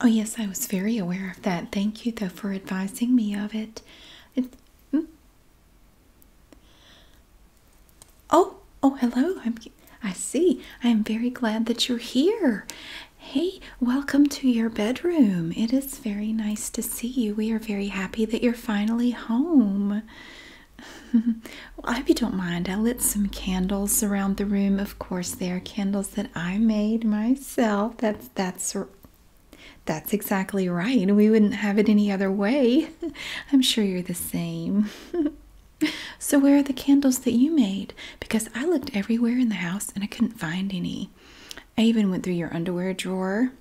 Oh, yes, I was very aware of that. Thank you, though, for advising me of it. Hmm? Oh, oh, hello. I'm, I see. I am very glad that you're here. Hey, welcome to your bedroom. It is very nice to see you. We are very happy that you're finally home. I hope you don't mind. I lit some candles around the room. Of course, they are candles that I made myself. That's that's that's exactly right. We wouldn't have it any other way. I'm sure you're the same. so where are the candles that you made? Because I looked everywhere in the house and I couldn't find any. I even went through your underwear drawer.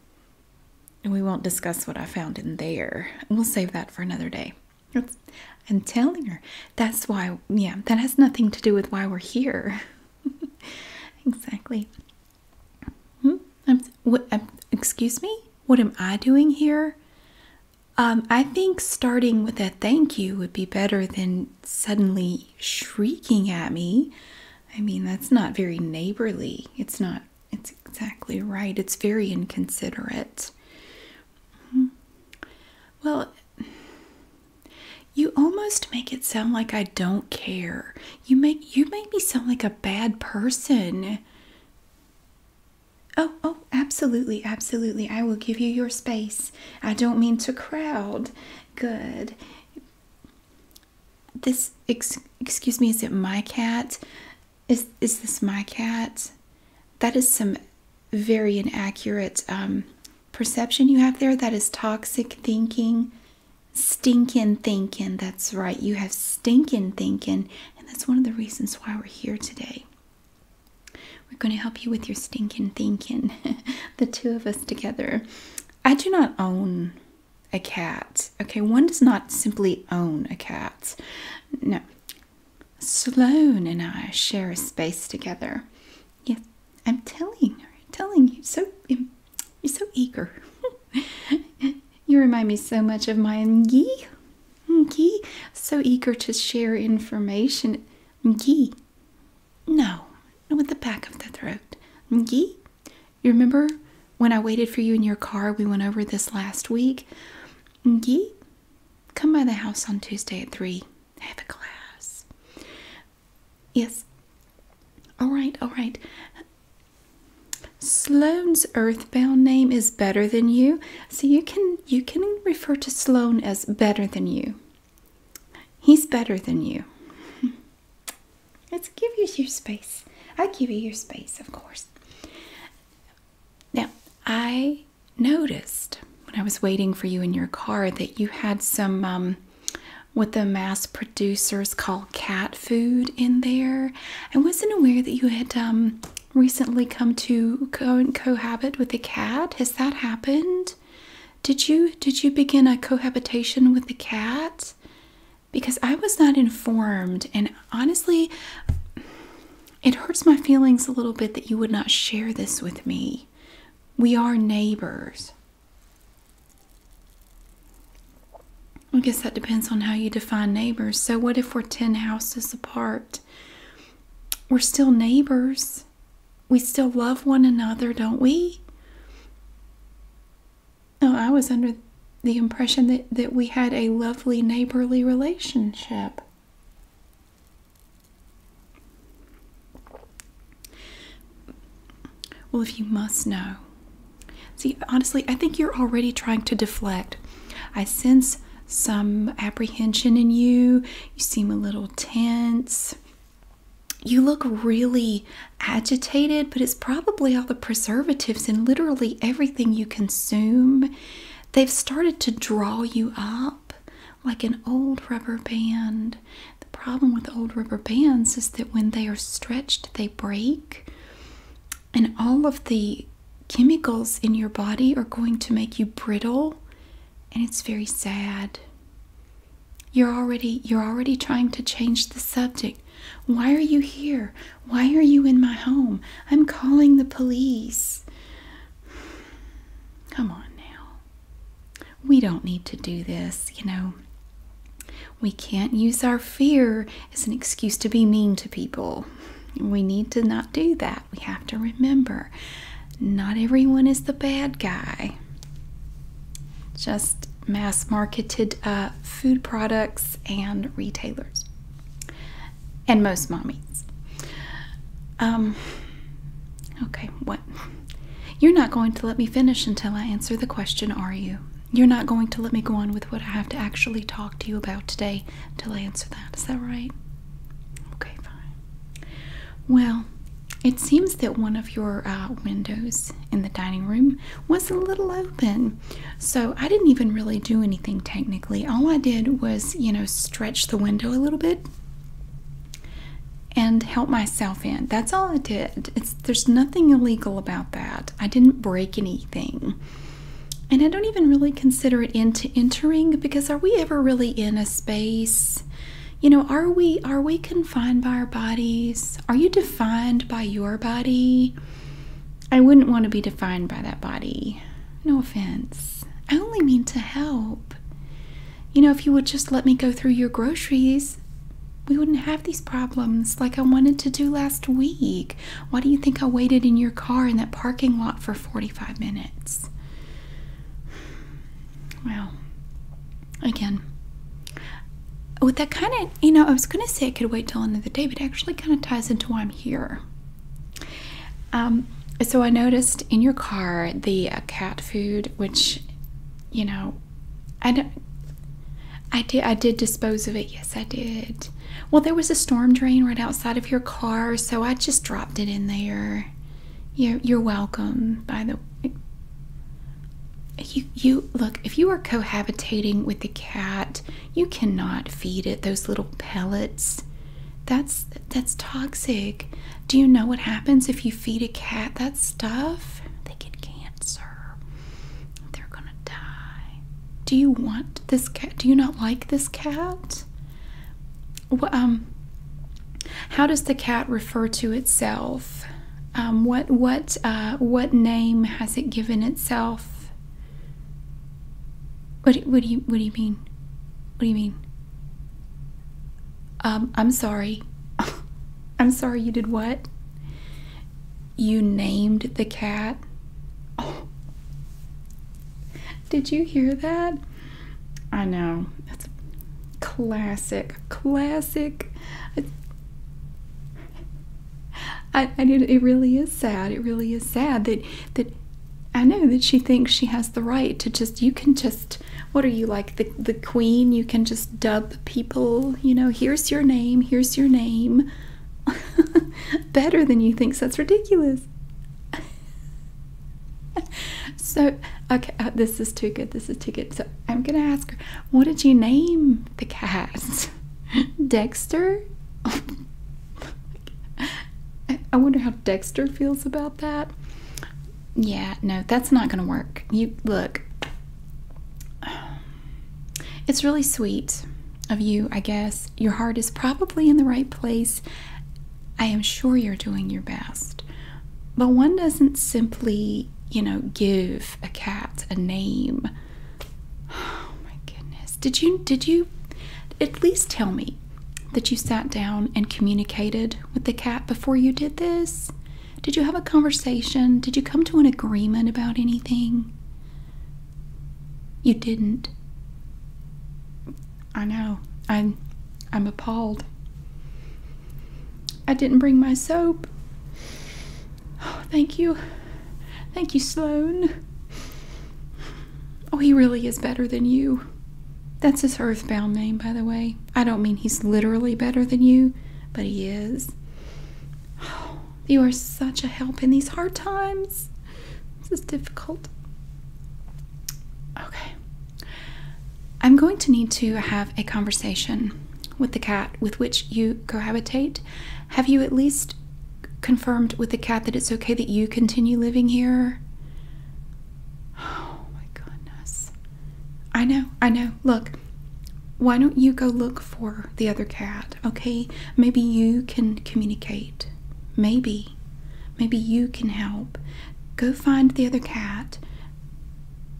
And we won't discuss what I found in there. We'll save that for another day. That's, I'm telling her. That's why, yeah, that has nothing to do with why we're here. exactly. Hmm? what, excuse me? What am I doing here? Um, I think starting with a thank you would be better than suddenly shrieking at me. I mean, that's not very neighborly. It's not, it's exactly right. It's very inconsiderate. Well, you almost make it sound like I don't care. You make you make me sound like a bad person. Oh, oh, absolutely, absolutely. I will give you your space. I don't mean to crowd. Good. This excuse me, is it my cat? is is this my cat? That is some very inaccurate um, perception you have there. That is toxic thinking, stinking thinking. That's right. You have stinking thinking, and that's one of the reasons why we're here today. We're going to help you with your stinking thinking, the two of us together. I do not own a cat. Okay, one does not simply own a cat. No, Sloane and I share a space together. Yes, I'm telling her, telling you, so um, you're so eager. you remind me so much of my Ngi. Ngi, so eager to share information. Ngi, no, with the back of the throat. Ngi, you remember when I waited for you in your car? We went over this last week. Ngi, Come by the house on Tuesday at 3. Have a glass. Yes. All right, all right. Sloane's earthbound name is better than you, so you can you can refer to Sloane as better than you. He's better than you. Let's give you your space. I give you your space, of course. Now, I noticed when I was waiting for you in your car that you had some um, what the mass producers call cat food in there. I wasn't aware that you had um, recently come to co cohabit with a cat. Has that happened? Did you did you begin a cohabitation with the cat? Because I was not informed, and honestly, it hurts my feelings a little bit that you would not share this with me. We are neighbors. I guess that depends on how you define neighbors. So, what if we're 10 houses apart? We're still neighbors. We still love one another, don't we? Oh, I was under the impression that, that we had a lovely neighborly relationship. Well, if you must know. See, honestly, I think you're already trying to deflect. I sense some apprehension in you. You seem a little tense. You look really agitated, but it's probably all the preservatives and literally everything you consume they've started to draw you up like an old rubber band. The problem with old rubber bands is that when they are stretched, they break, and all of the chemicals in your body are going to make you brittle, and it's very sad. You're already you're already trying to change the subject. Why are you here? Why are you in my home? I'm calling the police. Come on now. We don't need to do this, you know. We can't use our fear as an excuse to be mean to people. We need to not do that. We have to remember not everyone is the bad guy. Just mass marketed uh, food products and retailers and most mommies. Um, okay, what? You're not going to let me finish until I answer the question, are you? You're not going to let me go on with what I have to actually talk to you about today until I answer that. Is that right? Okay, fine. Well, it seems that one of your uh, windows in the dining room was a little open. So I didn't even really do anything technically. All I did was, you know, stretch the window a little bit and help myself in. That's all I did. It's, there's nothing illegal about that. I didn't break anything. And I don't even really consider it into entering because are we ever really in a space? You know, are we are we confined by our bodies? Are you defined by your body? I wouldn't want to be defined by that body. No offense. I only mean to help. You know, if you would just let me go through your groceries, we wouldn't have these problems like I wanted to do last week. Why do you think I waited in your car in that parking lot for 45 minutes? Well, again, with that kind of, you know, I was going to say I could wait till another day, but it actually kind of ties into why I'm here. Um, so I noticed in your car the uh, cat food, which, you know, I I did. I did dispose of it. Yes, I did. Well, there was a storm drain right outside of your car, so I just dropped it in there. You're, you're welcome. By the, you you look. If you are cohabitating with the cat, you cannot feed it those little pellets. That's that's toxic. Do you know what happens if you feed a cat that stuff? They get cancer. They're gonna die. Do you want this cat? Do you not like this cat? um, how does the cat refer to itself? Um, what what uh, what name has it given itself? What, do you what do you mean? What do you mean? Um, I'm sorry. I'm sorry you did what? You named the cat? Did you hear that? I know. It's classic. Classic. I, I did, it really is sad. It really is sad that that I know that she thinks she has the right to just, you can just, what are you like, the, the queen? You can just dub people, you know, here's your name, here's your name. Better than you thinks, that's ridiculous. so, okay, uh, this is too good, this is too good. So, I'm gonna ask her, what did you name the cast, Dexter? I wonder how Dexter feels about that. Yeah, no, that's not going to work. You look. It's really sweet of you, I guess. Your heart is probably in the right place. I am sure you're doing your best. But one doesn't simply, you know, give a cat a name. Oh my goodness. Did you did you at least tell me that you sat down and communicated with the cat before you did this? Did you have a conversation? Did you come to an agreement about anything? You didn't. I know. I'm I'm appalled. I didn't bring my soap. thank you. Thank you, Sloan. Oh, he really is better than you. That's his earthbound name, by the way. I don't mean he's literally better than you, but he is. Oh, you are such a help in these hard times. This is difficult. Okay. I'm going to need to have a conversation with the cat with which you cohabitate. Have you at least confirmed with the cat that it's okay that you continue living here? Oh my goodness. I know, I know. Look, why don't you go look for the other cat, okay? Maybe you can communicate. Maybe. Maybe you can help. Go find the other cat.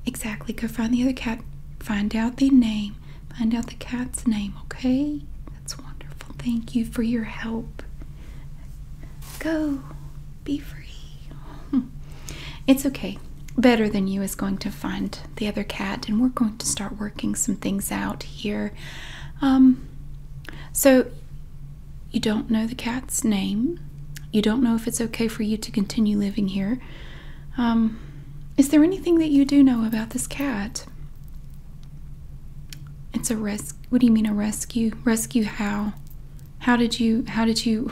Exactly, go find the other cat. Find out the name. Find out the cat's name, okay? That's wonderful. Thank you for your help. Go. Be free. It's okay. Better Than You is going to find the other cat, and we're going to start working some things out here. Um, so, you don't know the cat's name. You don't know if it's okay for you to continue living here. Um, is there anything that you do know about this cat? It's a rescue. What do you mean a rescue? Rescue how? How did you? How did you?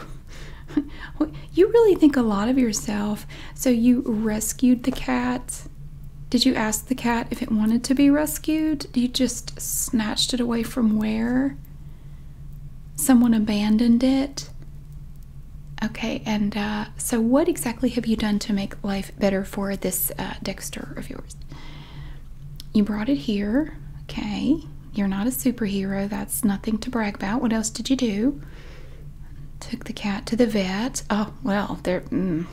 you really think a lot of yourself. So you rescued the cat. Did you ask the cat if it wanted to be rescued? You just snatched it away from where? Someone abandoned it. Okay, and uh, so what exactly have you done to make life better for this uh, Dexter of yours? You brought it here. Okay. You're not a superhero. That's nothing to brag about. What else did you do? Took the cat to the vet. Oh, well, there. Mm.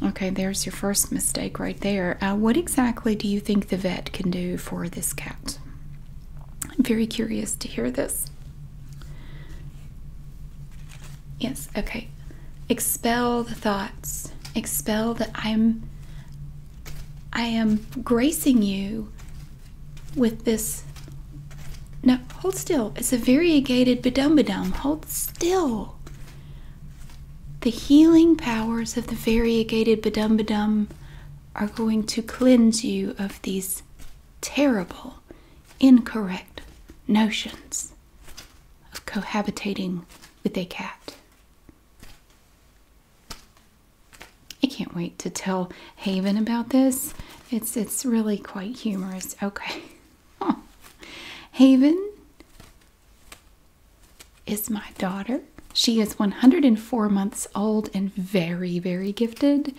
Okay, there's your first mistake right there. Uh, what exactly do you think the vet can do for this cat? I'm very curious to hear this. Yes, okay. Expel the thoughts. Expel that I'm I am gracing you with this. No, hold still. It's a variegated bedum-bedum. Hold still. The healing powers of the variegated bedum-bedum are going to cleanse you of these terrible, incorrect notions of cohabitating with a cat. I can't wait to tell Haven about this. It's it's really quite humorous. Okay. Haven is my daughter. She is 104 months old and very, very gifted.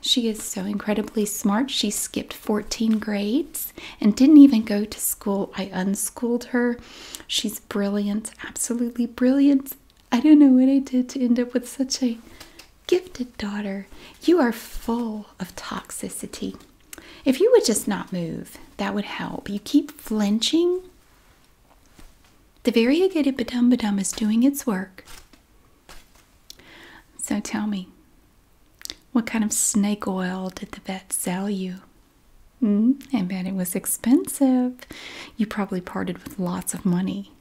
She is so incredibly smart. She skipped 14 grades and didn't even go to school. I unschooled her. She's brilliant, absolutely brilliant. I don't know what I did to end up with such a gifted daughter. You are full of toxicity. If you would just not move, that would help. You keep flinching. The variegated badum badum is doing its work. So tell me, what kind of snake oil did the vet sell you? Mm, I bet it was expensive. You probably parted with lots of money.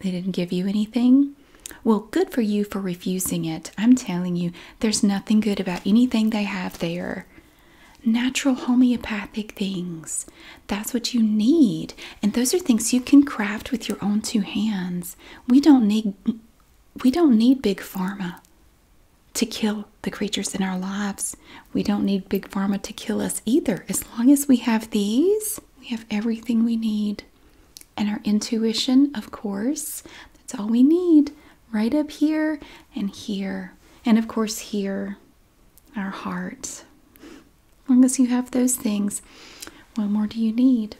They didn't give you anything? Well, good for you for refusing it. I'm telling you, there's nothing good about anything they have there. Natural homeopathic things. That's what you need. And those are things you can craft with your own two hands. We don't need we don't need big pharma to kill the creatures in our lives. We don't need big pharma to kill us either. As long as we have these, we have everything we need. And our intuition, of course, that's all we need right up here and here. And of course, here, our heart. As long as you have those things, what more do you need?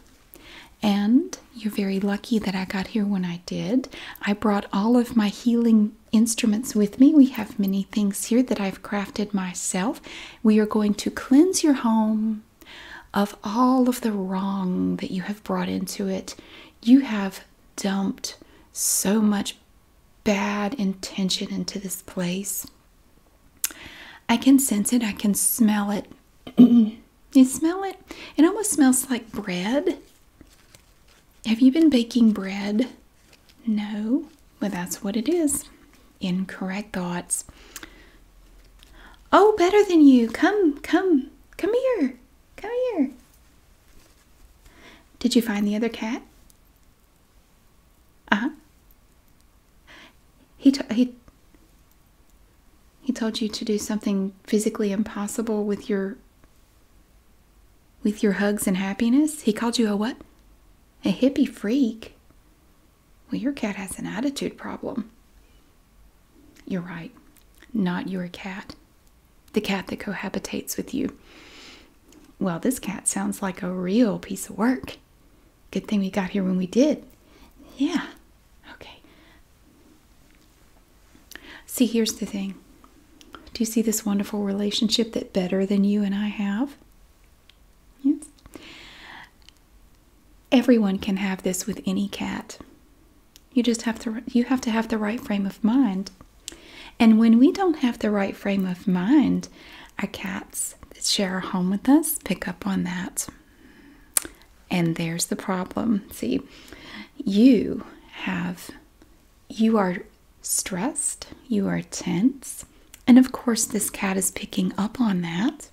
And you're very lucky that I got here when I did. I brought all of my healing instruments with me. We have many things here that I've crafted myself. We are going to cleanse your home of all of the wrong that you have brought into it. You have dumped so much bad intention into this place. I can sense it, I can smell it. You smell it? It almost smells like bread. Have you been baking bread? No. Well, that's what it is. Incorrect thoughts. Oh, better than you. Come, come, come here. Come here. Did you find the other cat? Uh huh. He he he told you to do something physically impossible with your with your hugs and happiness. He called you a what? A hippie freak. Well, your cat has an attitude problem. You're right. Not your cat. The cat that cohabitates with you. Well, this cat sounds like a real piece of work. Good thing we got here when we did. Yeah. Okay. See, here's the thing. Do you see this wonderful relationship that better than you and I have? Yes. Everyone can have this with any cat. You just have to you have to have the right frame of mind. And when we don't have the right frame of mind, our cats that share a home with us pick up on that. And there's the problem. See, you have, you are stressed, you are tense. And of course, this cat is picking up on that.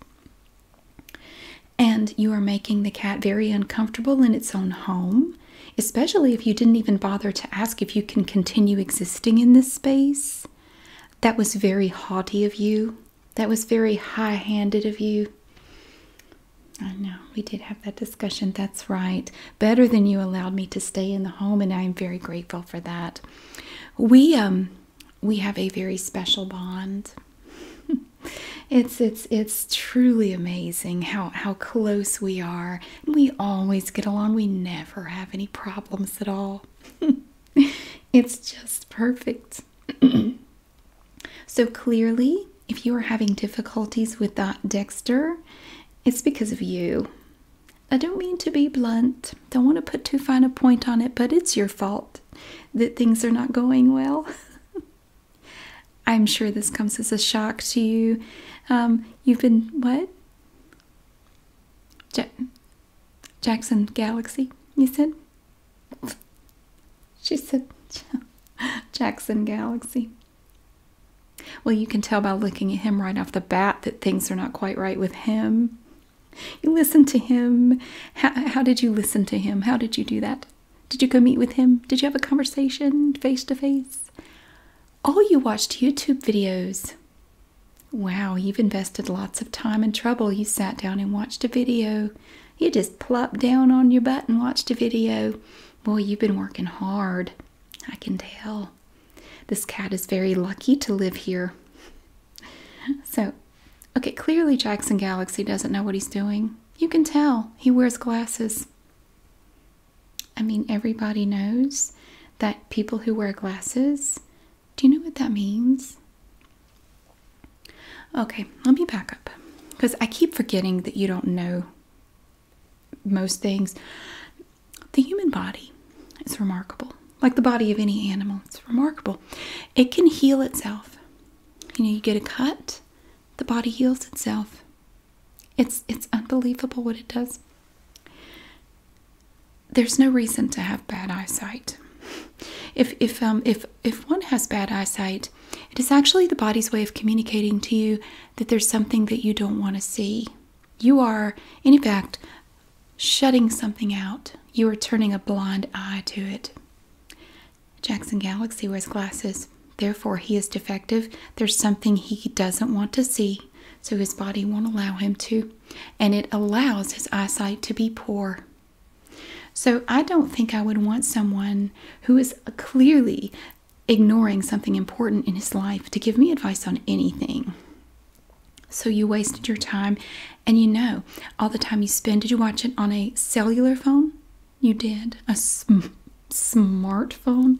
And you are making the cat very uncomfortable in its own home, especially if you didn't even bother to ask if you can continue existing in this space. That was very haughty of you. That was very high handed of you. I know, we did have that discussion. That's right. Better than you allowed me to stay in the home, and I am very grateful for that. We, um, we have a very special bond. it's it's it's truly amazing how how close we are. We always get along. We never have any problems at all. it's just perfect. So clearly, if you are having difficulties with that Dexter, it's because of you. I don't mean to be blunt, don't want to put too fine a point on it, but it's your fault that things are not going well. I'm sure this comes as a shock to you. Um, you've been what? Jackson Galaxy, you said? She said, Jackson Galaxy. Well, you can tell by looking at him right off the bat that things are not quite right with him. You listened to him. How, did you listen to him? How did you do that? Did you go meet with him? Did you have a conversation face to face? Oh, you watched YouTube videos. Wow, you've invested lots of time and trouble. You sat down and watched a video you just plop down on your butt and watch a video. Boy, you've been working hard. I can tell. This cat is very lucky to live here. So, okay, clearly Jackson Galaxy doesn't know what he's doing. You can tell. He wears glasses. I mean, everybody knows that people who wear glasses do you know what that means? Okay, let me back up because I keep forgetting that you don't know most things. The human body is remarkable, like the body of any animal, it's remarkable. It can heal itself. You know, you get a cut, the body heals itself. It's it's unbelievable what it does. There's no reason to have bad eyesight if if um if if one has bad eyesight, it is actually the body's way of communicating to you that there's something that you don't want to see. You are, in effect, shutting something out. You are turning a blind eye to it. Jackson Galaxy wears glasses. Therefore, he is defective. There's something he doesn't want to see, so his body won't allow him to, and it allows his eyesight to be poor. So I don't think I would want someone who is clearly ignoring something important in his life to give me advice on anything. So you wasted your time and you know all the time you spend. Did you watch it on a cellular phone? You did. A smartphone?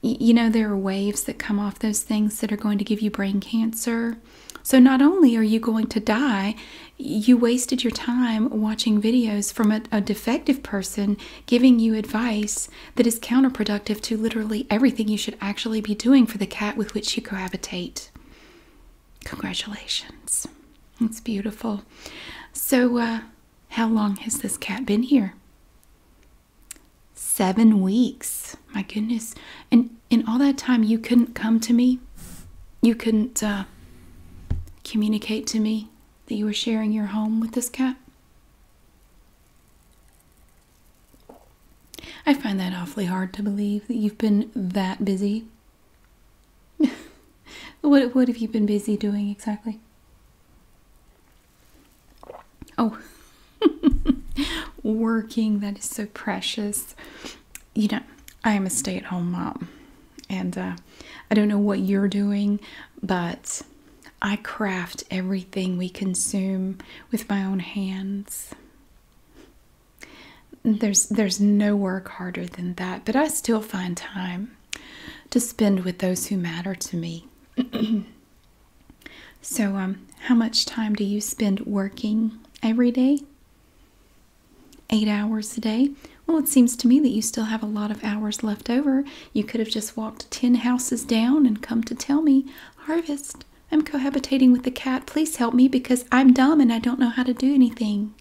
you know, there are waves that come off those things that are going to give you brain cancer. So, not only are you going to die, you wasted your time watching videos from a, defective person giving you advice that is counterproductive to literally everything you should actually be doing for the cat with which you cohabitate. Congratulations. It's beautiful. So, uh, how long has this cat been here? Seven weeks. My goodness. And in all that time, you couldn't come to me. You couldn't uh, communicate to me that you were sharing your home with this cat. I find that awfully hard to believe that you've been that busy. what, what have you been busy doing exactly? Oh, working, that is so precious you know, I am a stay at home mom. And uh, I don't know what you're doing, but I craft everything we consume with my own hands. There's, there's no work harder than that, but I still find time to spend with those who matter to me. so, um, how much time do you spend working every day? eight hours a day. Well, it seems to me that you still have a lot of hours left over. You could have just walked 10 houses down and come to tell me, Harvest, I'm cohabitating with the cat. Please help me because I'm dumb and I don't know how to do anything.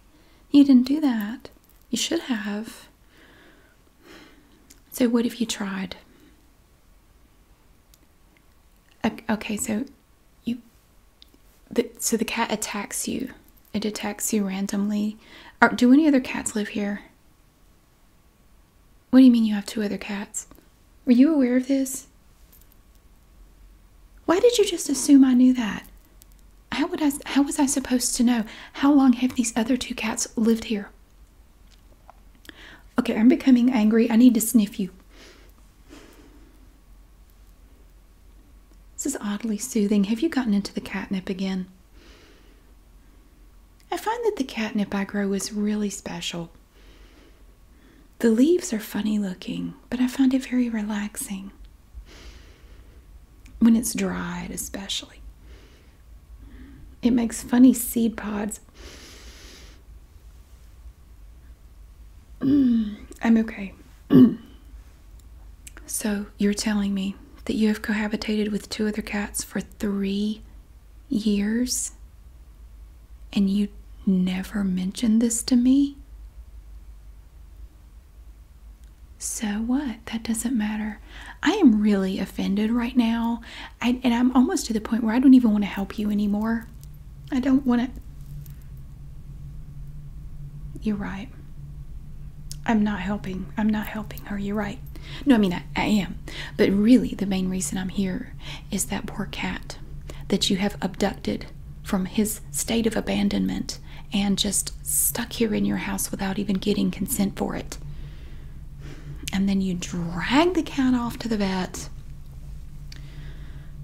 You didn't do that. You should have. So, what if you tried? Okay, so you the, so the cat attacks you. It attacks you randomly. Are, do any other cats live here? What do you mean you have two other cats? Were you aware of this? Why did you just assume I knew that? How would I how was I supposed to know? How long have these other two cats lived here? Okay, I'm becoming angry. I need to sniff you. This is oddly soothing. Have you gotten into the catnip again? I find that the catnip I grow is really special. The leaves are funny looking, but I find it very relaxing. When it's dried, especially, it makes funny seed pods. I'm okay. so you're telling me that you have cohabitated with two other cats for three years and you never mentioned this to me? So what? That doesn't matter. I am really offended right now. and I'm almost to the point where I don't even want to help you anymore I don't want it. You're right. I'm not helping. I'm not helping her. You're right. No, I mean, I, am. But really, the main reason I'm here is that poor cat that you have abducted from his state of abandonment and just stuck here in your house without even getting consent for it. And then you drag the cat off to the vet.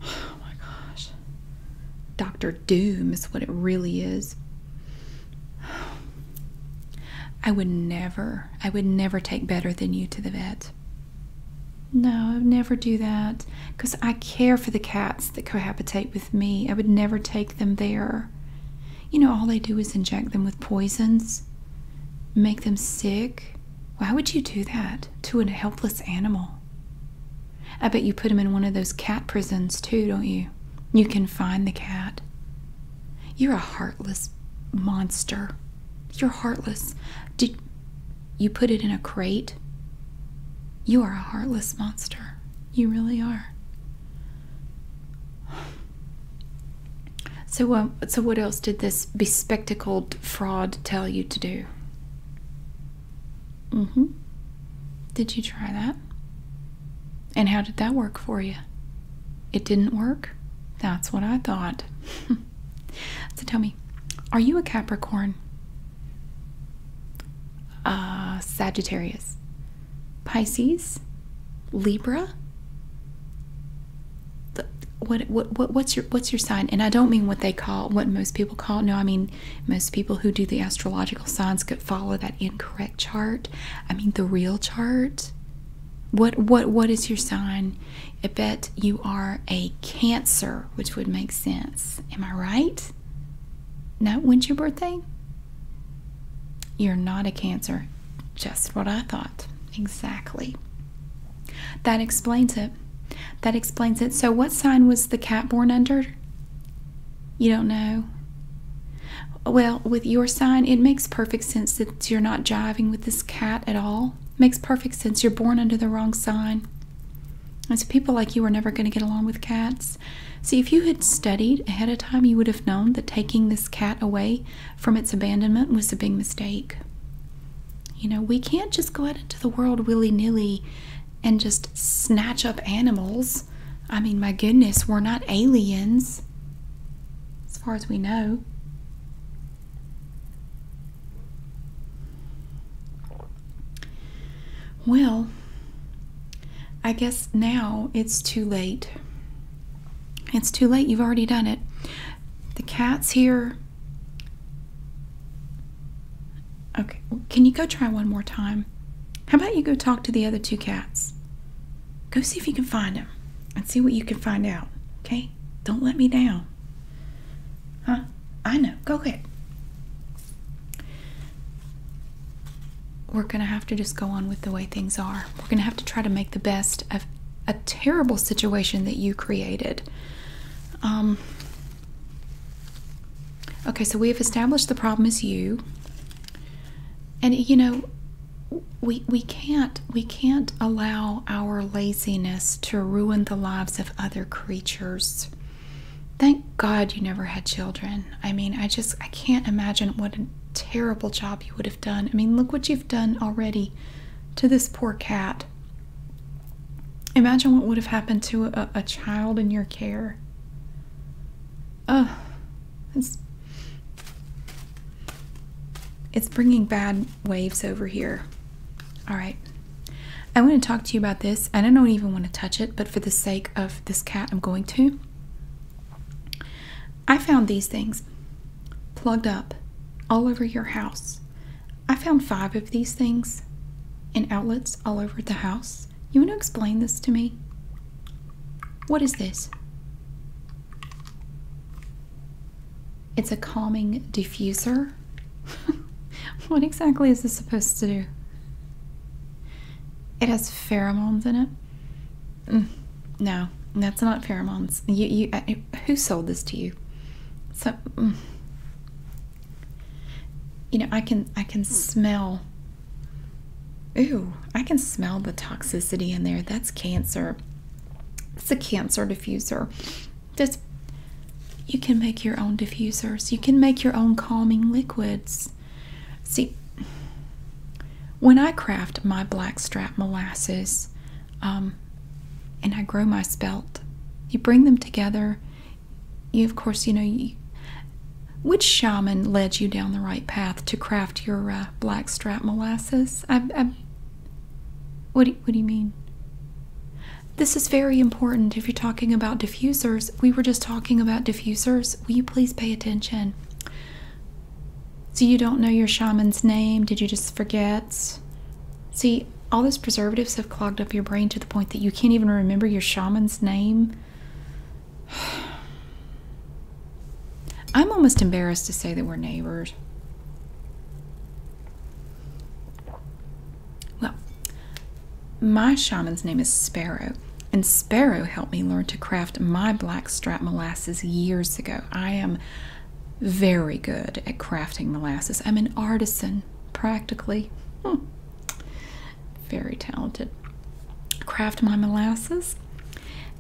Oh my gosh. Doctor Doom is what it really is. I would never, I would never take better than you to the vet. No, I would never do that because I care for the cats that cohabitate with me. I would never take them there. You know, all they do is inject them with poisons, make them sick. Why would you do that to an helpless animal? I bet you put him in one of those cat prisons too, don't you? You can find the cat. You're a heartless monster. You're heartless. Did you put it in a crate? You are a heartless monster. You really are. So, uh, so what else did this bespectacled fraud tell you to do? hmm Did you try that? And how did that work for you? It didn't work? That's what I thought. so tell me, are you a Capricorn? Uh, Sagittarius. Pisces? Libra? what, what, what what's your what's your sign? And I don't mean what they call what most people call. No, I mean most people who do the astrological signs could follow that incorrect chart. I mean, the real chart. What what what is your sign? I bet you are a Cancer, which would make sense. Am I right? No, when's your birthday? You're not a Cancer. Just what I thought. Exactly. That explains it. That explains it. So, what sign was the cat born under? You don't know. Well, with your sign, it makes perfect sense that you're not jiving with this cat at all. Makes perfect sense. You're born under the wrong sign. And so, people like you are never going to get along with cats. See, if you had studied ahead of time, you would have known that taking this cat away from its abandonment was a big mistake. You know, we can't just go out into the world willy nilly and just snatch up animals. I mean, my goodness, we're not aliens, as far as we know. Well, I guess now it's too late. It's too late. You've already done it. The cat's here. Okay, can you go try one more time? How about you go talk to the other two cats? Go see if you can find them and see what you can find out, okay? Don't let me down. Huh? I know. Go ahead. We're going to have to just go on with the way things are. We're going to have to try to make the best of a terrible situation that you created. Um, Okay, so we have established the problem is you. And you know, we we can't we can't allow our laziness to ruin the lives of other creatures. Thank God you never had children. I mean, I just I can't imagine what a terrible job you would have done. I mean, look what you've done already to this poor cat. Imagine what would have happened to a, child in your care. Oh, it's, it's bringing bad waves over here. All right. I want to talk to you about this, and I don't even want to touch it, but for the sake of this cat, I'm going to. I found these things plugged up all over your house. I found five of these things in outlets all over the house. You want to explain this to me? What is this? It's a calming diffuser. what exactly is this supposed to do? It has pheromones in it. Mm, no, that's not pheromones. You, you, who sold this to you? So, mm you know, I can I can hmm. smell ooh, I can smell the toxicity in there. That's cancer. It's a cancer diffuser. Just you can make your own diffusers. You can make your own calming liquids. See, when I craft my blackstrap molasses um, and I grow my spelt, you bring them together you of course you know which shaman led you down the right path to craft your uh, blackstrap molasses I, what do you mean this is very important if you're talking about diffusers we were just talking about diffusers will you please pay attention so you don't know your shaman's name did you just forget see all those preservatives have clogged up your brain to the point that you can't even remember your shaman's name. I'm almost embarrassed to say that we're neighbors. Well, my shaman's name is Sparrow, and Sparrow helped me learn to craft my blackstrap molasses years ago. I am very good at crafting molasses. I'm an artisan practically. Hmm. Very talented. Craft my molasses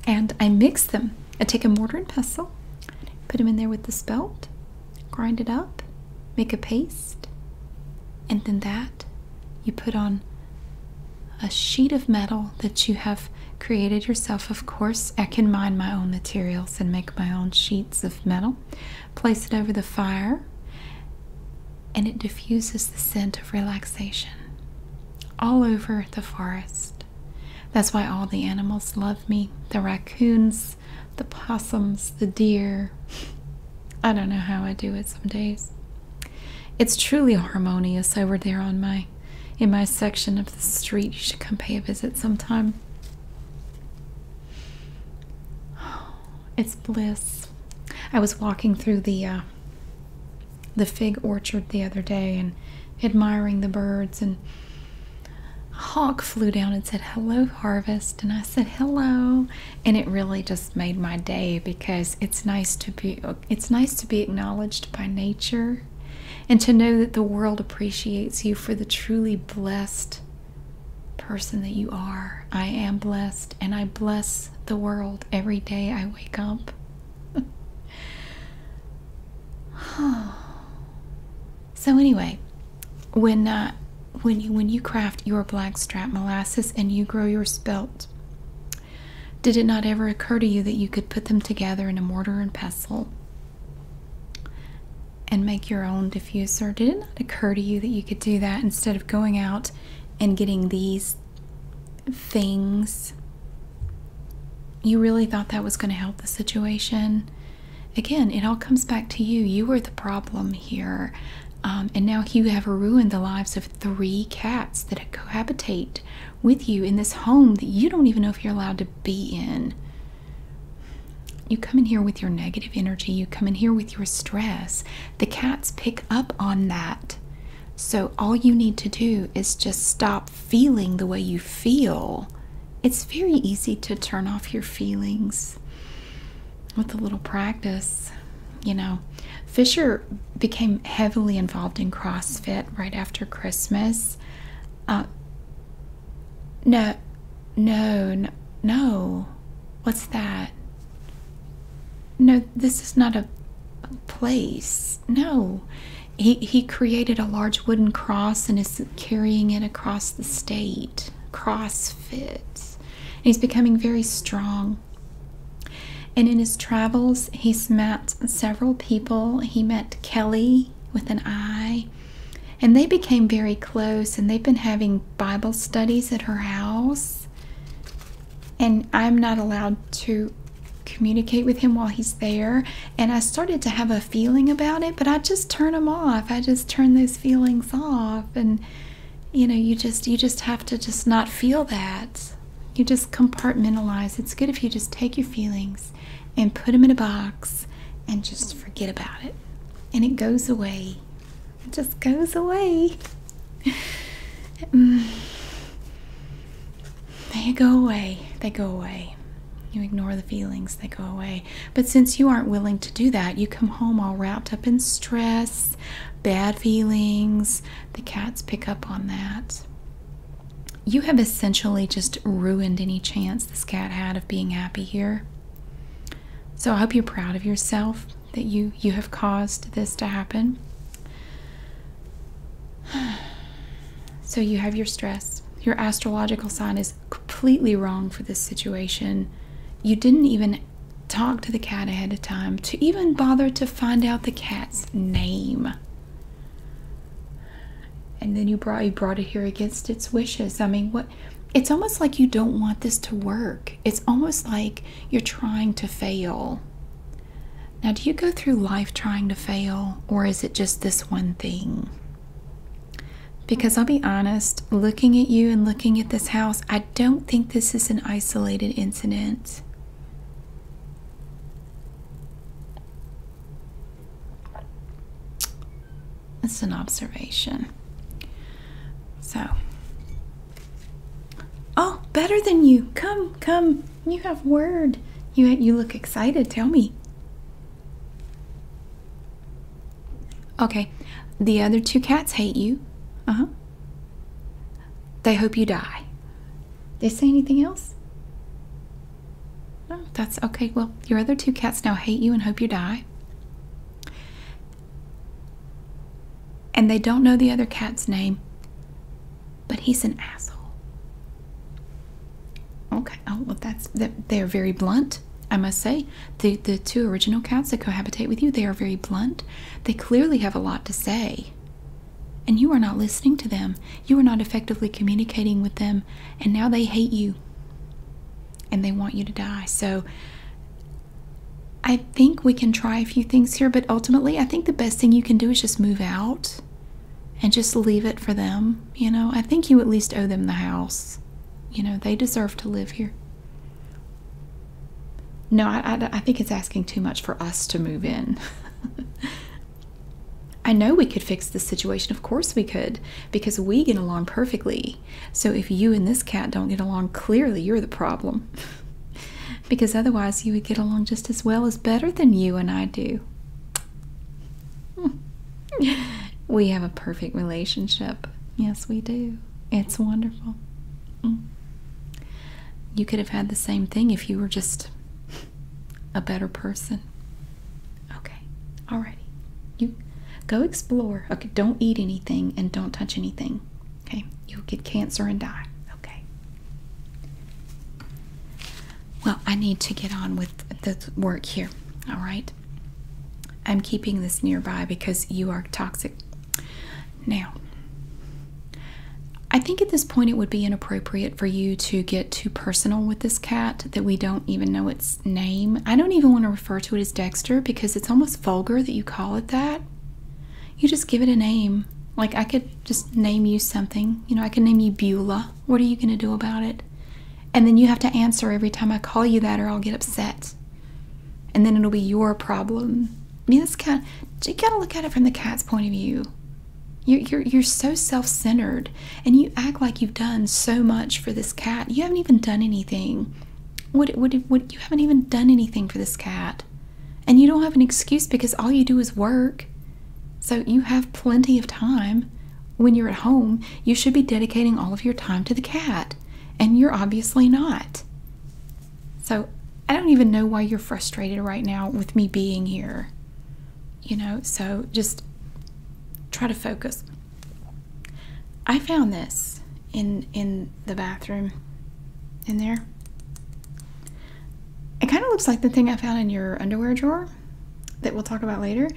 and I mix them. I take a mortar and pestle, put them in there with the spelt, grind it up, make a paste, and then that you put on a sheet of metal that you have created yourself. Of course, I can mine my own materials and make my own sheets of metal. Place it over the fire and it diffuses the scent of relaxation all over the forest. That's why all the animals love me the raccoons, the possums, the deer. I don't know how I do it some days. It's truly harmonious over there on my in my section of the street. You should come pay a visit sometime. it's bliss. I was walking through the uh, the fig orchard the other day and admiring the birds and a hawk flew down and said hello harvest and I said hello and it really just made my day because it's nice to be it's nice to be acknowledged by nature and to know that the world appreciates you for the truly blessed person that you are. I am blessed and I bless the world every day I wake up. so anyway, when uh, when you when you craft your blackstrap molasses and you grow your spelt, did it not ever occur to you that you could put them together in a mortar and pestle and make your own diffuser. Did it not occur to you that you could do that instead of going out and getting these things? You really thought that was going to help the situation? Again, it all comes back to you. You are the problem here. Um, and now you have ruined the lives of three cats that cohabitate with you in this home that you don't even know if you're allowed to be in. You come in here with your negative energy, you come in here with your stress. The cats pick up on that. So, all you need to do is just stop feeling the way you feel. It's very easy to turn off your feelings with a little practice. You know, Fisher became heavily involved in CrossFit right after Christmas. Uh, no, no, no, What's that? No, this is not a place. No. He, he created a large wooden cross and is carrying it across the state. Cross fits. he's becoming very strong. And in his travels, he met several people. He met Kelly with an eye. And they became very close, and they've been having Bible studies at her house. And I'm not allowed to communicate with him while he's there. And I started to have a feeling about it, but I just turn them off. I just turn those feelings off. And you know, you just you just have to just not feel that. You just compartmentalize. It's good if you just take your feelings and put them in a box and just forget about it and it goes away. It just goes away. Mm. they go away. They go away. You ignore the feelings, they go away. But since you aren't willing to do that, you come home all wrapped up in stress, bad feelings. The cats pick up on that. You have essentially just ruined any chance this cat had of being happy here. So I hope you're proud of yourself that you you have caused this to happen. So you have your stress. Your astrological sign is completely wrong for this situation. You didn't even talk to the cat ahead of time to even bother to find out the cat's name. And then you brought you brought it here against its wishes. I mean, what it's almost like you don't want this to work. It's almost like you're trying to fail. Now, do you go through life trying to fail, or is it just this one thing? Because I'll be honest, looking at you and looking at this house, I don't think this is an isolated incident. It's an observation. So, oh, better than you. Come, come. You have word. You you look excited. Tell me. Okay, the other two cats hate you. Uh huh. They hope you die. they say anything else? Oh, that's okay. Well, your other two cats now hate you and hope you die. And they don't know the other cat's name, but he's an asshole. Okay. Oh, well, that's They are very blunt. I must say, the the two original cats that cohabitate with you, they are very blunt. They clearly have a lot to say, and you are not listening to them. You are not effectively communicating with them, and now they hate you and they want you to die. So I think we can try a few things here, but ultimately, I think the best thing you can do is just move out and just leave it for them. You know, I think you at least owe them the house. You know, they deserve to live here. No, I, think it's asking too much for us to move in. I know we could fix this situation. Of course we could, because we get along perfectly. So if you and this cat don't get along, clearly you're the problem. because otherwise you would get along just as well as better than you and I do. Hmm. we have a perfect relationship. Yes, we do. It's wonderful. Mm. You could have had the same thing if you were just a better person. Okay. Alrighty. You go explore. Okay. Don't eat anything and don't touch anything. Okay. You'll get cancer and die. Okay. Well, I need to get on with the work here. All right. I'm keeping this nearby because you are toxic. Now, I think at this point it would be inappropriate for you to get too personal with this cat that we don't even know its name. I don't even want to refer to it as Dexter because it's almost vulgar that you call it that. You just give it a name. Like I could just name you something. You know, I could name you Beulah. What are you going to do about it? And then you have to answer every time I call you that or I'll get upset. And then it'll be your problem. I mean, this cat. you got to look at it from the cat's point of view. You're, you're, you're so self centered and you act like you've done so much for this cat you haven't even done anything what what what you haven't even done anything for this cat and you don't have an excuse because all you do is work so you have plenty of time when you're at home you should be dedicating all of your time to the cat and you're obviously not so i don't even know why you're frustrated right now with me being here you know so just try to focus I found this in in the bathroom in there. It kind of looks like the thing I found in your underwear drawer that we'll talk about later.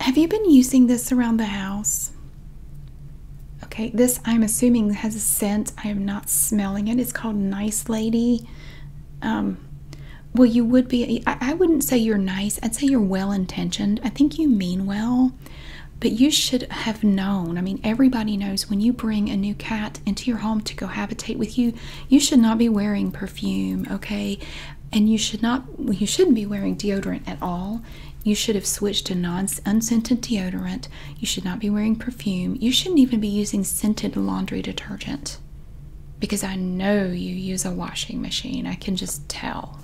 Have you been using this around the house? Okay, this I'm assuming has a scent. I am not smelling it. It's called Nice Lady. Um, well, you would be. I, wouldn't say you're nice. I'd say you're well intentioned. I think you mean well, but you should have known. I mean, everybody knows when you bring a new cat into your home to cohabitate with you, you should not be wearing perfume, okay? And you should not. You shouldn't be wearing deodorant at all. You should have switched to non unscented deodorant. You should not be wearing perfume. You shouldn't even be using scented laundry detergent because I know you use a washing machine. I can just tell.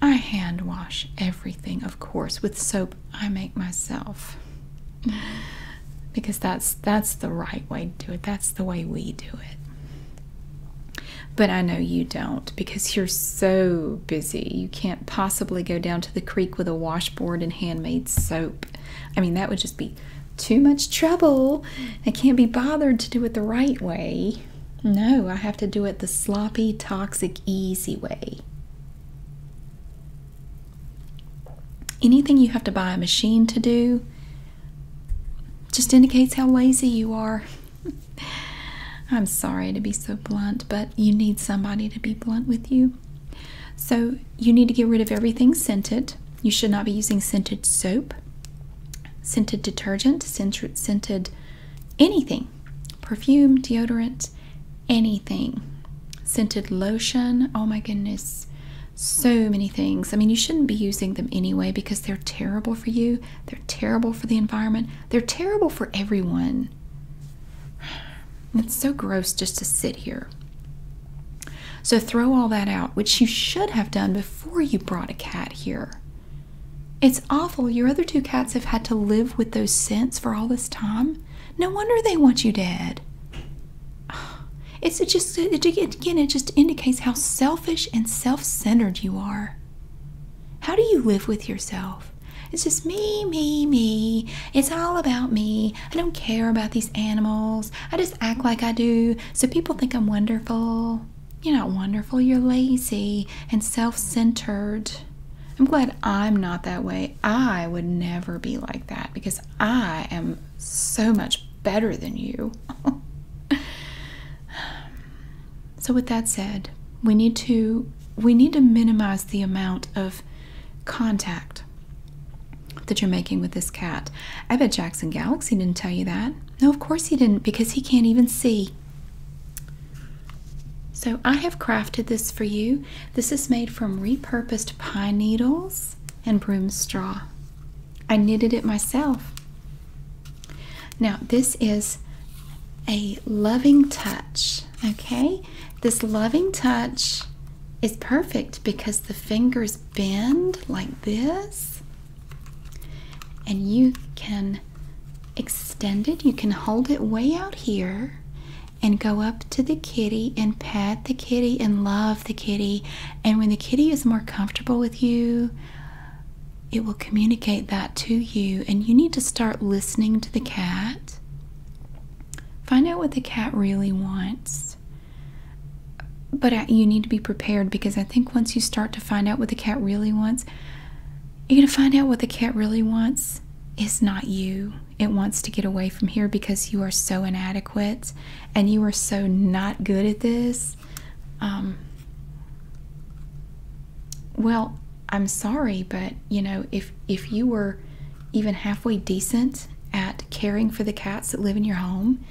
I hand wash everything, of course, with soap I make myself. Because that's that's the right way to do it. That's the way we do it. But I know you don't because you're so busy. You can't possibly go down to the creek with a washboard and handmade soap. I mean, that would just be too much trouble. I can't be bothered to do it the right way. No, I have to do it the sloppy, toxic, easy way. Anything you have to buy a machine to do just indicates how lazy you are. I'm sorry to be so blunt, but you need somebody to be blunt with you. So, you need to get rid of everything scented. You should not be using scented soap scented detergent, scented, anything, perfume, deodorant, anything, scented lotion. Oh my goodness, so many things. I mean, you shouldn't be using them anyway because they're terrible for you, they're terrible for the environment, they're terrible for everyone. It's so gross just to sit here. So throw all that out, which you should have done before you brought a cat here. It's awful. Your other two cats have had to live with those scents for all this time. No wonder they want you dead. It's it just it, again. It just indicates how selfish and self-centered you are. How do you live with yourself? It's just me, me, me. It's all about me. I don't care about these animals. I just act like I do so people think I'm wonderful. You're not wonderful. You're lazy and self centered. I'm glad I'm not that way. I would never be like that because I am so much better than you. so with that said, we need to we need to minimize the amount of contact that you're making with this cat. I bet Jackson Galaxy didn't tell you that. No, of course he didn't, because he can't even see. So I have crafted this for you. This is made from repurposed pine needles and broom straw. I knitted it myself. Now, this is a loving touch, okay? This loving touch is perfect because the fingers bend like this and you can extend it, you can hold it way out here and go up to the kitty and pet the kitty and love the kitty. And when the kitty is more comfortable with you, it will communicate that to you. And you need to start listening to the cat. Find out what the cat really wants but you need to be prepared because I think once you start to find out what the cat really wants, you're going to find out what the cat really wants is not you. It wants to get away from here because you are so inadequate and you are so not good at this. Um, well, I'm sorry, but you know, if if you were even halfway decent at caring for the cats that live in your home,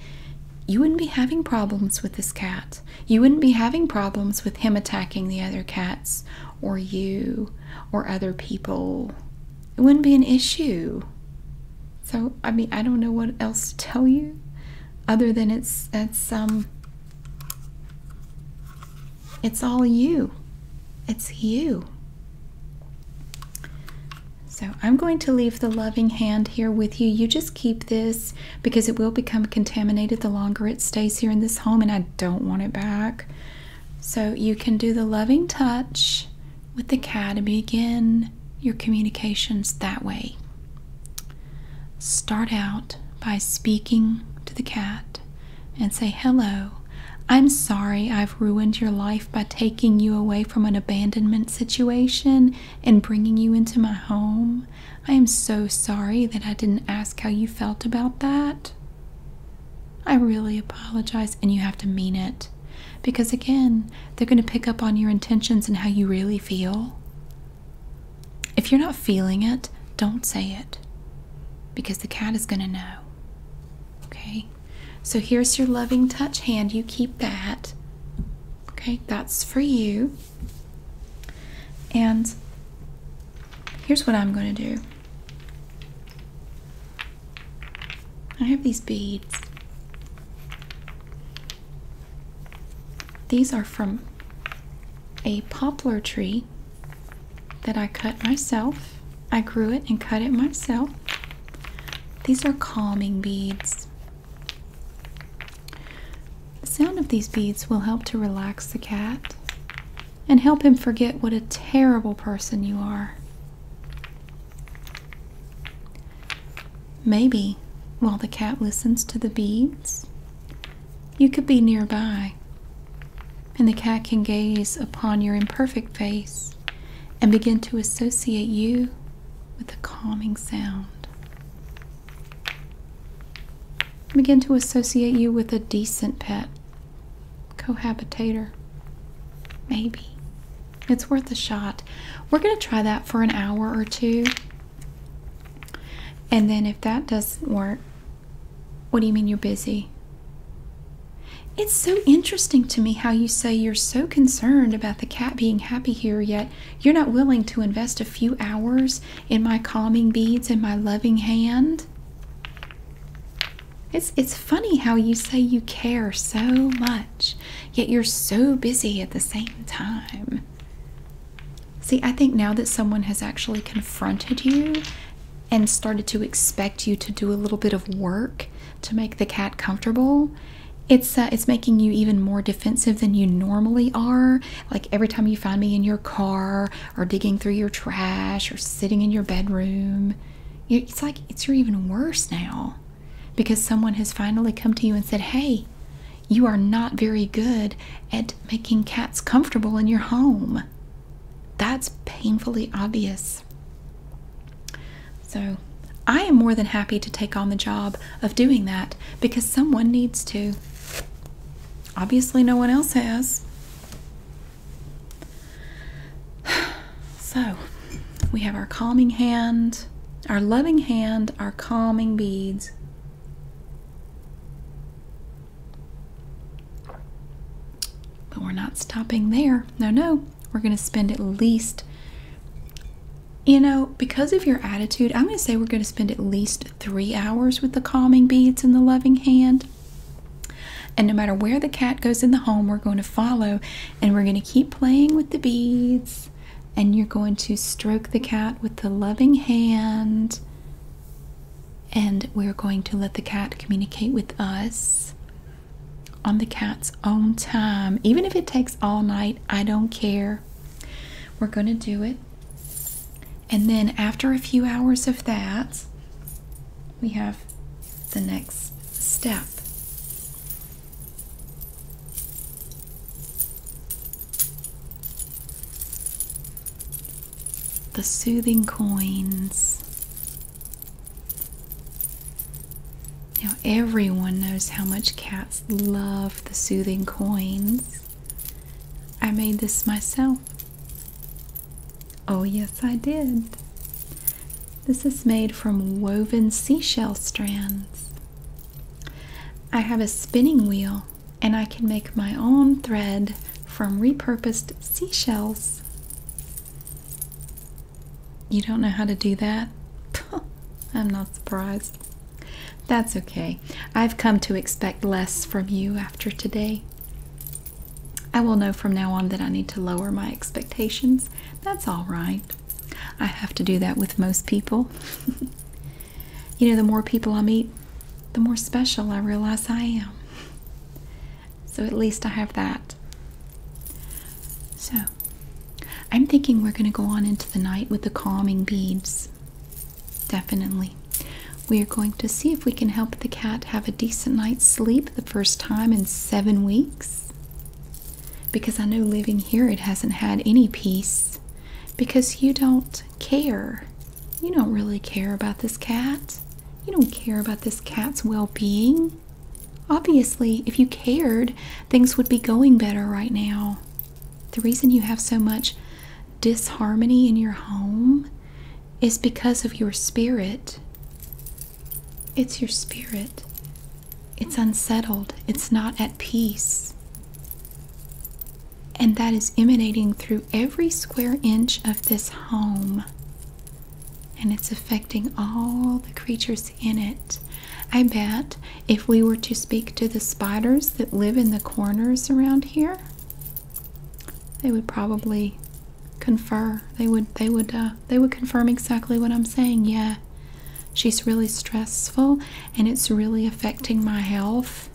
you wouldn't be having problems with this cat you wouldn't be having problems with him attacking the other cats or you or other people. It wouldn't be an issue. So, I mean, I don't know what else to tell you other than it's it's um it's all you. It's you. So, I'm going to leave the loving hand here with you. You just keep this because it will become contaminated the longer it stays here in this home, and I don't want it back. So, you can do the loving touch with the cat and begin your communications that way. Start out by speaking to the cat and say, Hello, I'm sorry I've ruined your life by taking you away from an abandonment situation and bringing you into my home. I am so sorry that I didn't ask how you felt about that. I really apologize, and you have to mean it. Because again, they're going to pick up on your intentions and how you really feel. If you're not feeling it, don't say it. Because the cat is going to know. Okay? So here's your loving touch hand. You keep that. Okay? That's for you. And here's what I'm going to do I have these beads. These are from a poplar tree that I cut myself. I grew it and cut it myself. These are calming beads. The sound of these beads will help to relax the cat and help him forget what a terrible person you are. Maybe while the cat listens to the beads, you could be nearby, and the cat can gaze upon your imperfect face and begin to associate you with the calming sound. Begin to associate you with a decent pet, cohabitator. Maybe. It's worth a shot. We're going to try that for an hour or two. And then if that doesn't work, what do you mean you're busy? It's so interesting to me how you say you're so concerned about the cat being happy here, yet you're not willing to invest a few hours in my calming beads and my loving hand. It's, it's funny how you say you care so much, yet you're so busy at the same time. See, I think now that someone has actually confronted you and started to expect you to do a little bit of work to make the cat comfortable, it's uh, it's making you even more defensive than you normally are. Like every time you find me in your car or digging through your trash or sitting in your bedroom, it's like it's even worse now because someone has finally come to you and said, "Hey, you are not very good at making cats comfortable in your home." That's painfully obvious. So I am more than happy to take on the job of doing that because someone needs to. Obviously, no one else has. So, we have our calming hand, our loving hand, our calming beads. But we're not stopping there. No, no. We're going to spend at least you know, because of your attitude, I'm going to say we're going to spend at least three hours with the calming beads and the loving hand. And no matter where the cat goes in the home, we're going to follow and we're going to keep playing with the beads. And you're going to stroke the cat with the loving hand. And we're going to let the cat communicate with us on the cat's own time. Even if it takes all night, I don't care. We're going to do it. And then after a few hours of that, we have the next step. The soothing coins. Now, everyone knows how much cats love the soothing coins. I made this myself. Oh, yes, I did. This is made from woven seashell strands. I have a spinning wheel and I can make my own thread from repurposed seashells. You don't know how to do that? I'm not surprised. That's okay. I've come to expect less from you after today. I will know from now on that I need to lower my expectations. That's all right. I have to do that with most people. you know, the more people I meet, the more special I realize I am. So at least I have that. So, I'm thinking we're going to go on into the night with the calming beads. Definitely. We are going to see if we can help the cat have a decent night's sleep the first time in seven weeks. Because I know living here it hasn't had any peace. Because you don't care. You don't really care about this cat. You don't care about this cat's well being. Obviously, if you cared, things would be going better right now. The reason you have so much disharmony in your home is because of your spirit. It's your spirit. It's unsettled. It's not at peace. And that is emanating through every square inch of this home. And it's affecting all the creatures in it. I bet if we were to speak to the spiders that live in the corners around here, they would probably confer. They would they would uh, they would confirm exactly what I'm saying. Yeah. She's really stressful and it's really affecting my health.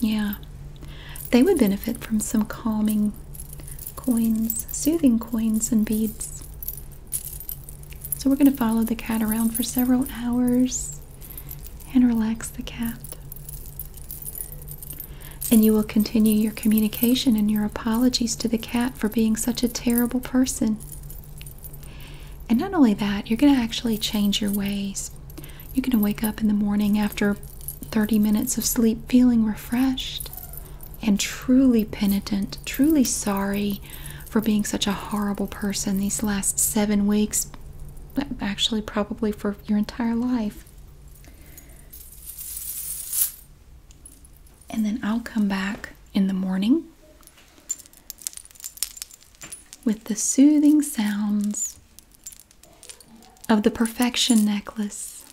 Yeah. They would benefit from some calming coins, soothing coins and beads. So we're going to follow the cat around for several hours and relax the cat. And you will continue your communication and your apologies to the cat for being such a terrible person. And not only that, you're going to actually change your ways. You're going to wake up in the morning after 30 minutes of sleep feeling refreshed and truly penitent, truly sorry for being such a horrible person these last seven weeks. Actually, probably for your entire life. And then I'll come back in the morning with the soothing sounds of the perfection necklace.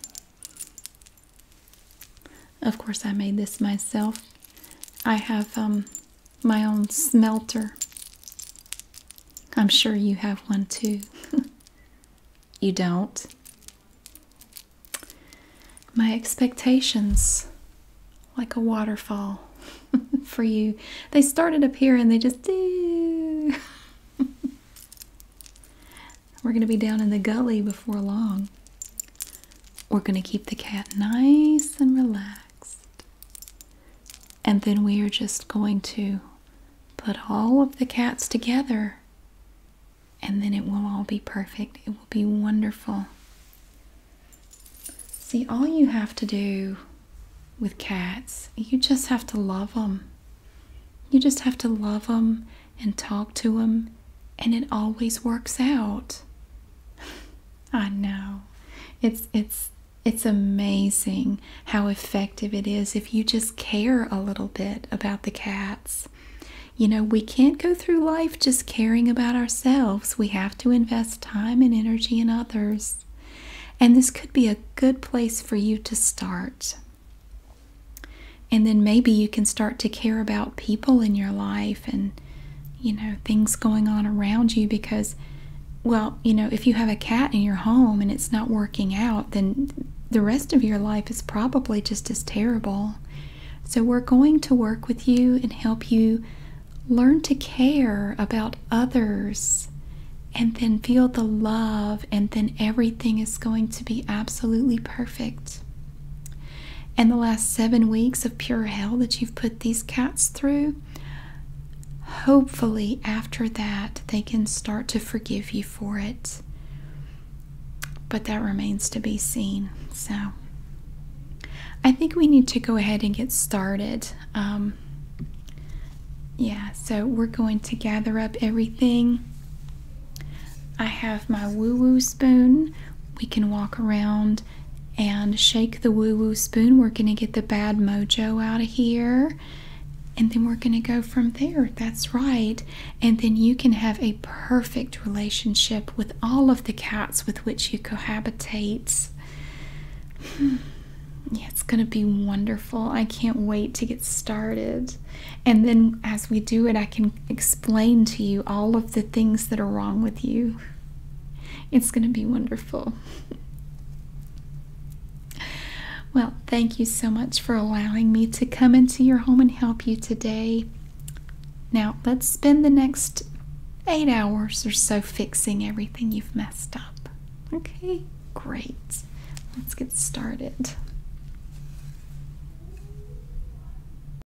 Of course, I made this myself. I have um, my own smelter. I'm sure you have one too. you don't? My expectations, like a waterfall for you, they started up here and they just. We're going to be down in the gully before long. We're going to keep the cat nice and relaxed. And then we are just going to put all of the cats together. And then it will all be perfect. It will be wonderful. See, all you have to do with cats, you just have to love them. You just have to love them and talk to them, and it always works out. I know. It's it's it's amazing how effective it is if you just care a little bit about the cats. You know, we can't go through life just caring about ourselves. We have to invest time and energy in others. And this could be a good place for you to start. And then maybe you can start to care about people in your life and you know things going on around you because well you know if you have a cat in your home and it's not working out then the rest of your life is probably just as terrible so we're going to work with you and help you learn to care about others and then feel the love and then everything is going to be absolutely perfect and the last seven weeks of pure hell that you've put these cats through, hopefully, after that, they can start to forgive you for it. But that remains to be seen. So, I think we need to go ahead and get started. Um, yeah, so we're going to gather up everything. I have my woo woo spoon. We can walk around and shake the woo woo spoon. We're going to get the bad mojo out of here. And then we're going to go from there. That's right. And then you can have a perfect relationship with all of the cats with which you cohabitate. Hmm. Yeah, it's going to be wonderful. I can't wait to get started. And then as we do it, I can explain to you all of the things that are wrong with you. It's going to be wonderful. Well, thank you so much for allowing me to come into your home and help you today. Now, let's spend the next eight hours or so fixing everything you've messed up. Okay, great. Let's get started.